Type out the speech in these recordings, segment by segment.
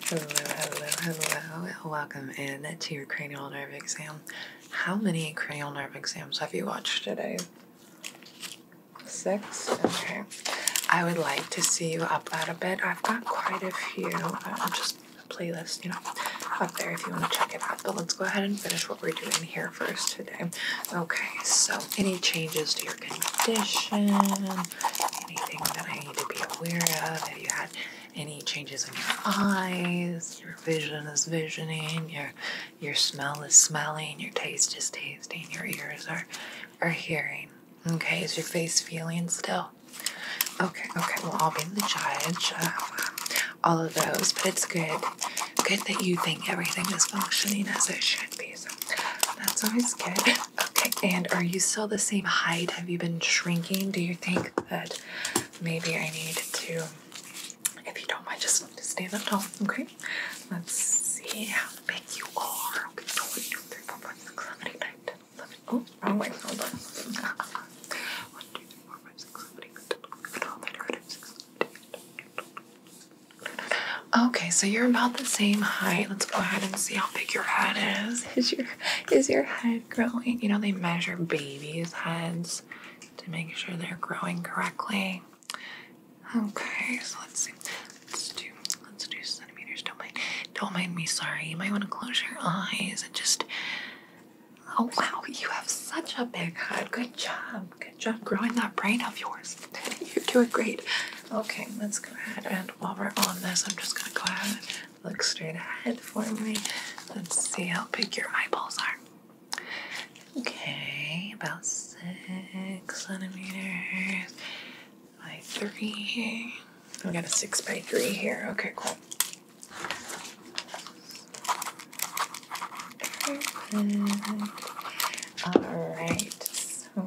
Hello, hello, hello. Welcome in to your cranial nerve exam. How many cranial nerve exams have you watched today? Six? Okay. I would like to see you up out a bit. I've got quite a few. Uh, just a playlist, you know, up there if you want to check it out. But let's go ahead and finish what we're doing here first today. Okay, so any changes to your condition? anything that I need to be aware of? Have you had any changes in your eyes? Your vision is visioning. Your your smell is smelling. Your taste is tasting. Your ears are are hearing. Okay, is your face feeling still? Okay, okay. we'll all be the judge of uh, all of those, but it's good, good that you think everything is functioning as it should be. So that's always good. Okay, and are you still the same height? Have you been shrinking? Do you think that maybe I need to, if you don't mind, just to stand up tall, okay? Let's see how big you are. Okay, so one, two, three, four, five, six, seven, eight, nine, ten, eleven. Oh, wrong way, hold on. One, two, three, four, five, six, seven, eight, nine, ten, eleven, twelve, thirteen, fourteen, fifteen, sixteen, seventeen, eighteen, nineteen, twenty. Okay, so you're about the same height go ahead and see how big your head is. Is your is your head growing? You know they measure babies' heads to make sure they're growing correctly. Okay, so let's see. Let's do let's do centimeters. Don't mind don't mind me, sorry. You might want to close your eyes and just Oh wow, you have such a big head. Good job. Good job growing that brain of yours. you do it great. Okay, let's go ahead and while we're on this, I'm just gonna go ahead and look straight ahead for me. Let's see how big your eyeballs are. Okay, about six centimeters by three. We got a six by three here. Okay, cool. All right. So,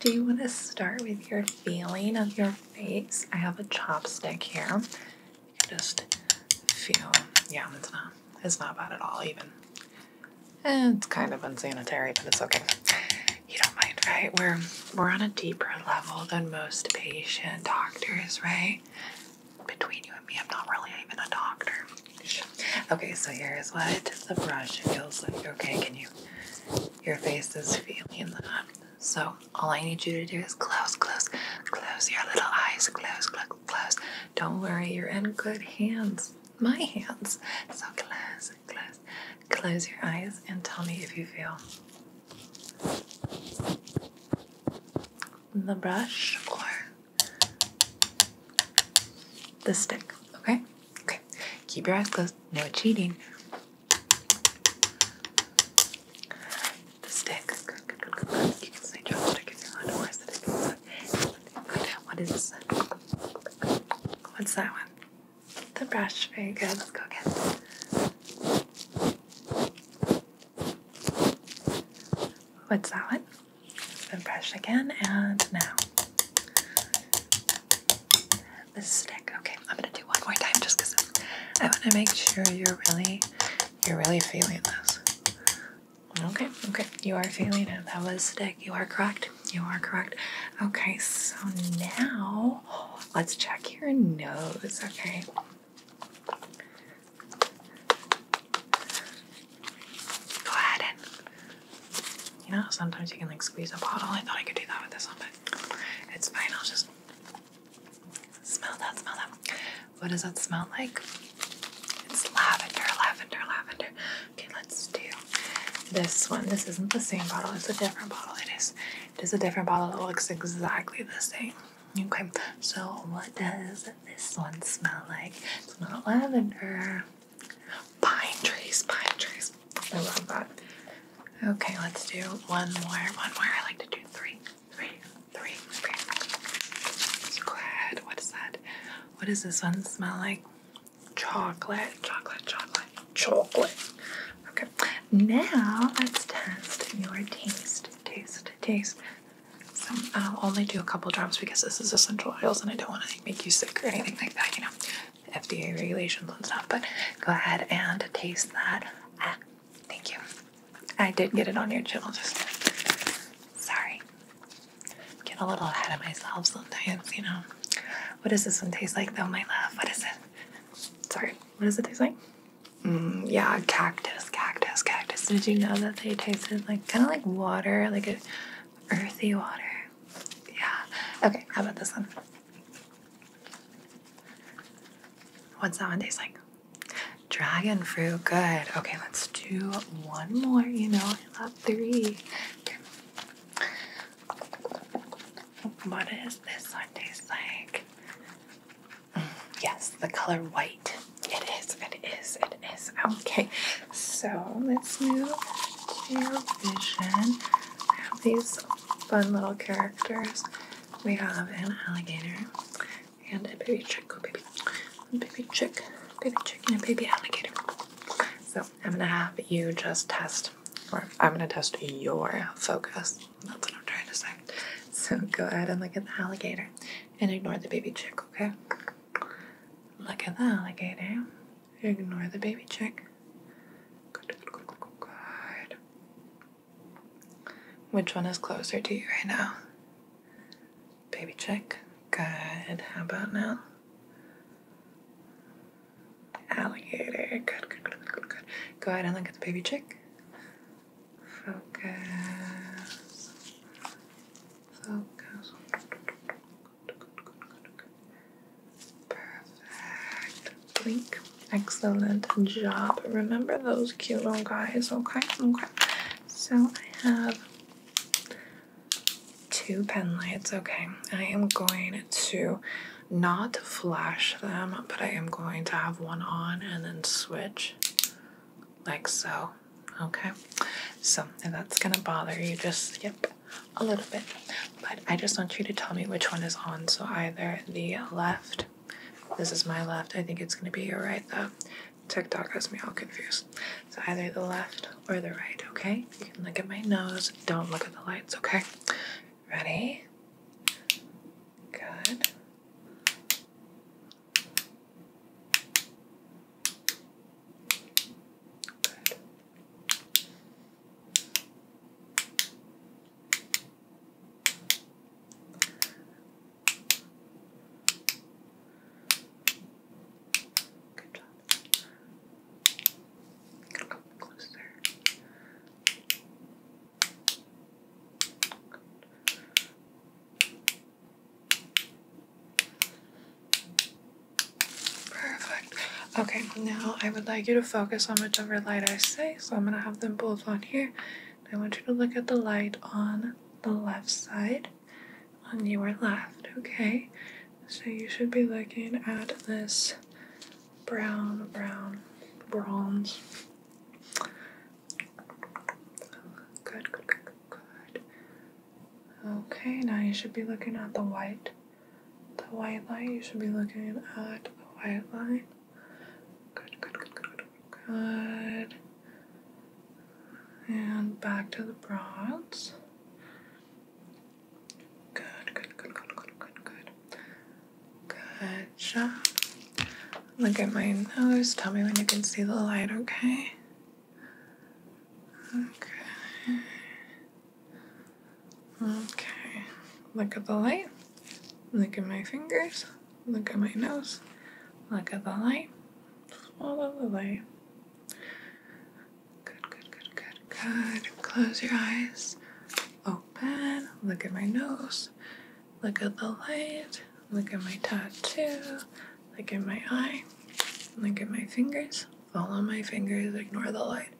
do you want to start with your feeling of your face? I have a chopstick here. You just feel. Yeah, it's not. It's not bad at all. Even. Eh, it's kind of unsanitary, but it's okay. You don't mind, right? We're we're on a deeper level than most patient doctors, right? Between you and me, I'm not really even a doctor. Okay, so here's what the brush feels like. Okay, can you your face is feeling that. So all I need you to do is close, close, close your little eyes, close, close, close. Don't worry, you're in good hands. My hands. So close, close, close your eyes and tell me if you feel the brush or the stick, okay? Okay, keep your eyes closed. No cheating. The stick. What is What's that one? The brush. Very good. Let's go again. What's that one? and brush again and now. This stick. Okay, I'm gonna do one more time just because I want to make sure you're really, you're really feeling this. Okay, okay, you are feeling it. That was stick. You are correct. You are correct. Okay, so now let's check your nose. Okay go ahead and you know, sometimes you can like squeeze a bottle. I thought I could do that with this one, but it's fine. I'll just smell that, smell that. What does that smell like? It's lavender, lavender, lavender. Okay, let's do this one. This isn't the same bottle, it's a different bottle. It is it is a different bottle that looks exactly the same. Okay, so what does this one smell like? It's not lavender. Pine trees, pine trees. I love that. Okay, let's do one more, one more. I like to do three, three, three, three. So go ahead. What is that? What does this one smell like? Chocolate, chocolate, chocolate, chocolate. Okay, now let's test your taste, taste, taste. So I'll only do a couple drops because this is essential oils and I don't want to make you sick or anything like that, you know, FDA regulations and stuff. But go ahead and taste that. Ah, thank you. I did get it on your channel sorry. Get a little ahead of myself sometimes, you know. What does this one taste like though, my love? What is it? Sorry, what does it taste like? Mm, yeah, cactus, cactus, cactus. Did you know that they tasted like kind of like water, like a Earthy water. Yeah. Okay, how about this one? What's that one taste like? Dragon fruit. Good. Okay, let's do one more. You know, I love three. What is this one taste like? Mm, yes, the color white. It is, it is, it is. Okay, so let's move to vision. We have these fun little characters. We have an alligator and a baby chick. Oh, baby. A baby chick, baby chick, and a baby alligator. So I'm gonna have you just test, or I'm gonna test your focus. That's what I'm trying to say. So go ahead and look at the alligator and ignore the baby chick, okay? Look at the alligator. Ignore the baby chick. Good, good, good, good, good. Which one is closer to you right now? Baby chick. Good. How about now? Alligator. Good, good, good, good, good. Go ahead and look at the baby chick. Focus. Perfect. Excellent job. Remember those cute little guys, okay? Okay. So I have two pen lights, okay? I am going to not flash them, but I am going to have one on and then switch like so. Okay, so if that's gonna bother you, just skip a little bit. But I just want you to tell me which one is on. So either the left, this is my left, I think it's gonna be your right though. TikTok has me all confused. So either the left or the right, okay? You can look at my nose, don't look at the lights, okay? Ready? Good. Good. Good job. You can come closer. Good. Perfect. Okay, now I would like you to focus on whichever light I say. So I'm going to have them both on here. I want you to look at the light on the left side, on your left, okay? So you should be looking at this brown, brown, bronze Good, good, good, good. Okay, now you should be looking at the white, the white line. You should be looking at the white line. Good, good, good, good, good. And back to the bronze. Good, good, good, good, good, good, good. Good job. Look at my nose. Tell me when you can see the light, okay? Okay. Okay. Look at the light. Look at my fingers. Look at my nose. Look at the light. Follow the light. Good, good, good, good, good. Close your eyes. Open. Look at my nose. Look at the light. Look at my tattoo. Look at my eye. Look at my fingers. Follow my fingers. Ignore the light.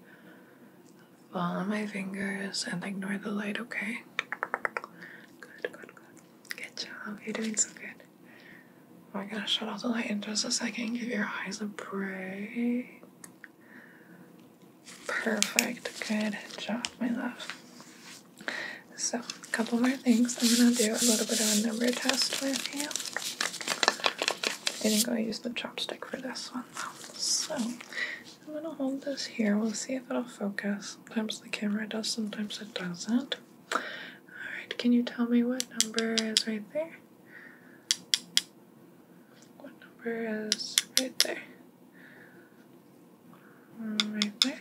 Follow my fingers and ignore the light, okay? Good, good, good. Good job. You're doing so good. I'm oh gonna shut off the light in just a second. Give your eyes a break. Perfect. Good job, my love. So, a couple more things. I'm gonna do a little bit of a number test with you. I think I'll use the chopstick for this one though. So, I'm gonna hold this here. We'll see if it'll focus. Sometimes the camera does, sometimes it doesn't. Alright, can you tell me what number is right there? What number is right there? One right there.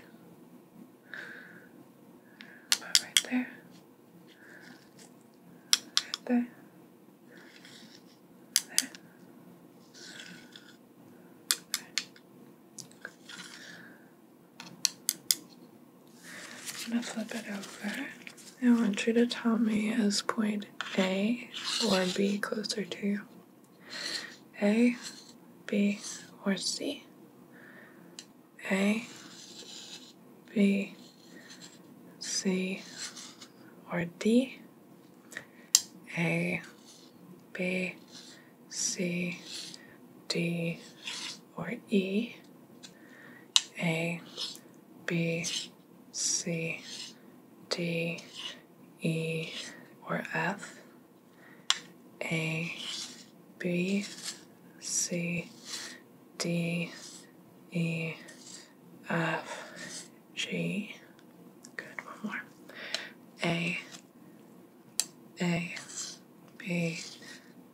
right there. Right there. There. I'm gonna flip it over. I want you to tell me as point A or B closer to you? A, B, or C. A, B, C, or D. A, B, C, D, or E. A, B, C, D, E or F, A, B, C, D, E, F, G. Good, one more. A, A, B,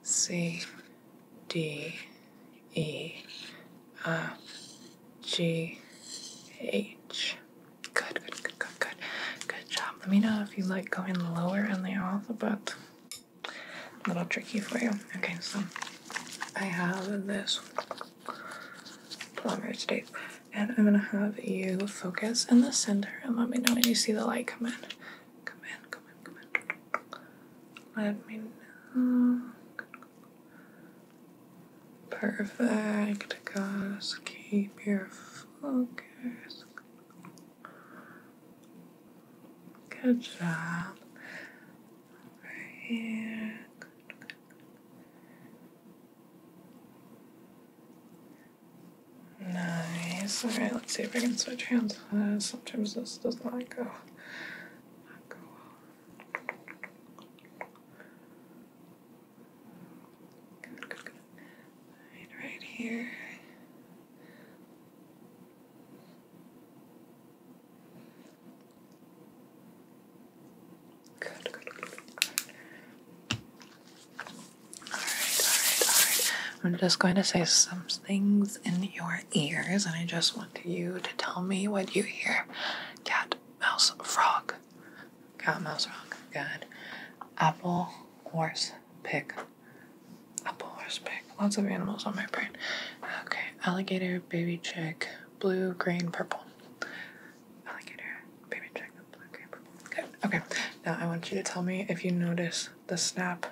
C, D, E, F, G H. Good, good, good, good, good. Good job. Let me know if you like going lower in the alphabet. A little tricky for you. Okay, so I have this plumber's tape. And I'm gonna have you focus in the center and let me know when you see the light come in. Come in, come in, come in. Let me know. Perfect, guys. Keep your focus. Good job. Right here. Nice. Alright, let's see if I can switch hands. Uh, sometimes this does not go. Good, good, good. Right, right here. Good, good, good, Alright, alright, alright. I'm just going to say some things in your ears, and I just want you to tell me what you hear cat, mouse, frog. God, mouse rock. God. Apple, horse, pig. Apple, horse, pig. Lots of animals on my brain. Okay. Alligator, baby chick, blue, green, purple. Alligator, baby chick, blue, green, purple. Good. Okay. Now I want you to tell me if you notice the snap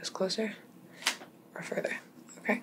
is closer or further. Okay?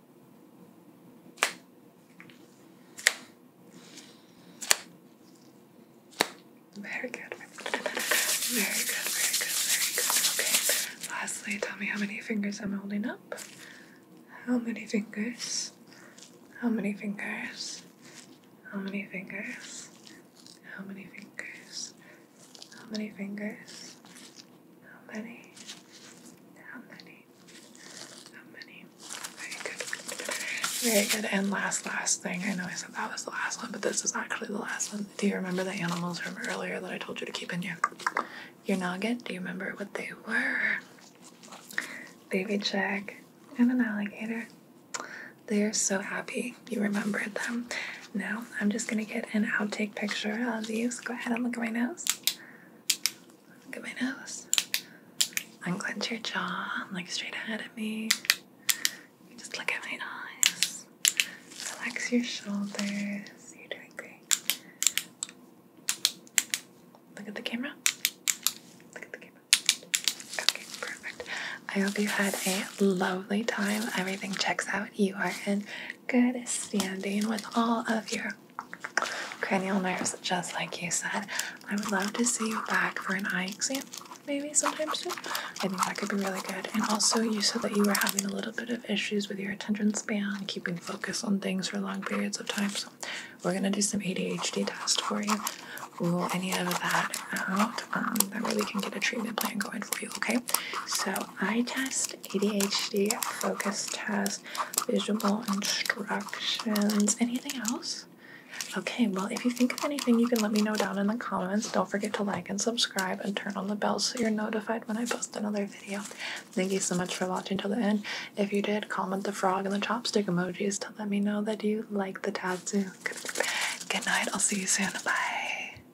Very good. Very good, very good, very good. Okay. Lastly, tell me how many fingers I'm holding up. How many fingers? How many fingers? How many fingers? How many fingers? How many fingers? How many? How many? How many? Very good. Very good. And last, last thing. I know I said that was the last one, but this is actually the last one. Do you remember the animals from earlier that I told you to keep in you? your noggin? Do you remember what they were? Baby Jack and an alligator. They are so happy you remembered them. Now I'm just gonna get an outtake picture of you. go ahead and look at my nose. Look at my nose. Unclench your jaw. Look straight ahead at me. Just look at my eyes. Relax your shoulders. You're doing great. Look at the camera. Look at the camera. Okay, perfect. I hope you had a lovely time. Everything checks out. You are in Good standing with all of your cranial nerves, just like you said. I would love to see you back for an eye exam, maybe sometime soon. I think that could be really good. And also, you said that you were having a little bit of issues with your attention span, keeping focus on things for long periods of time. So, we're gonna do some ADHD tests for you. Rule any of that out. Um, that way, we can get a treatment plan going for you. Okay. So, eye test. ADHD focus test, visual instructions. Anything else? Okay, well, if you think of anything, you can let me know down in the comments. Don't forget to like and subscribe and turn on the bell so you're notified when I post another video. Thank you so much for watching till the end. If you did, comment the frog and the chopstick emojis to let me know that you like the tattoo. Good night. I'll see you soon. Bye.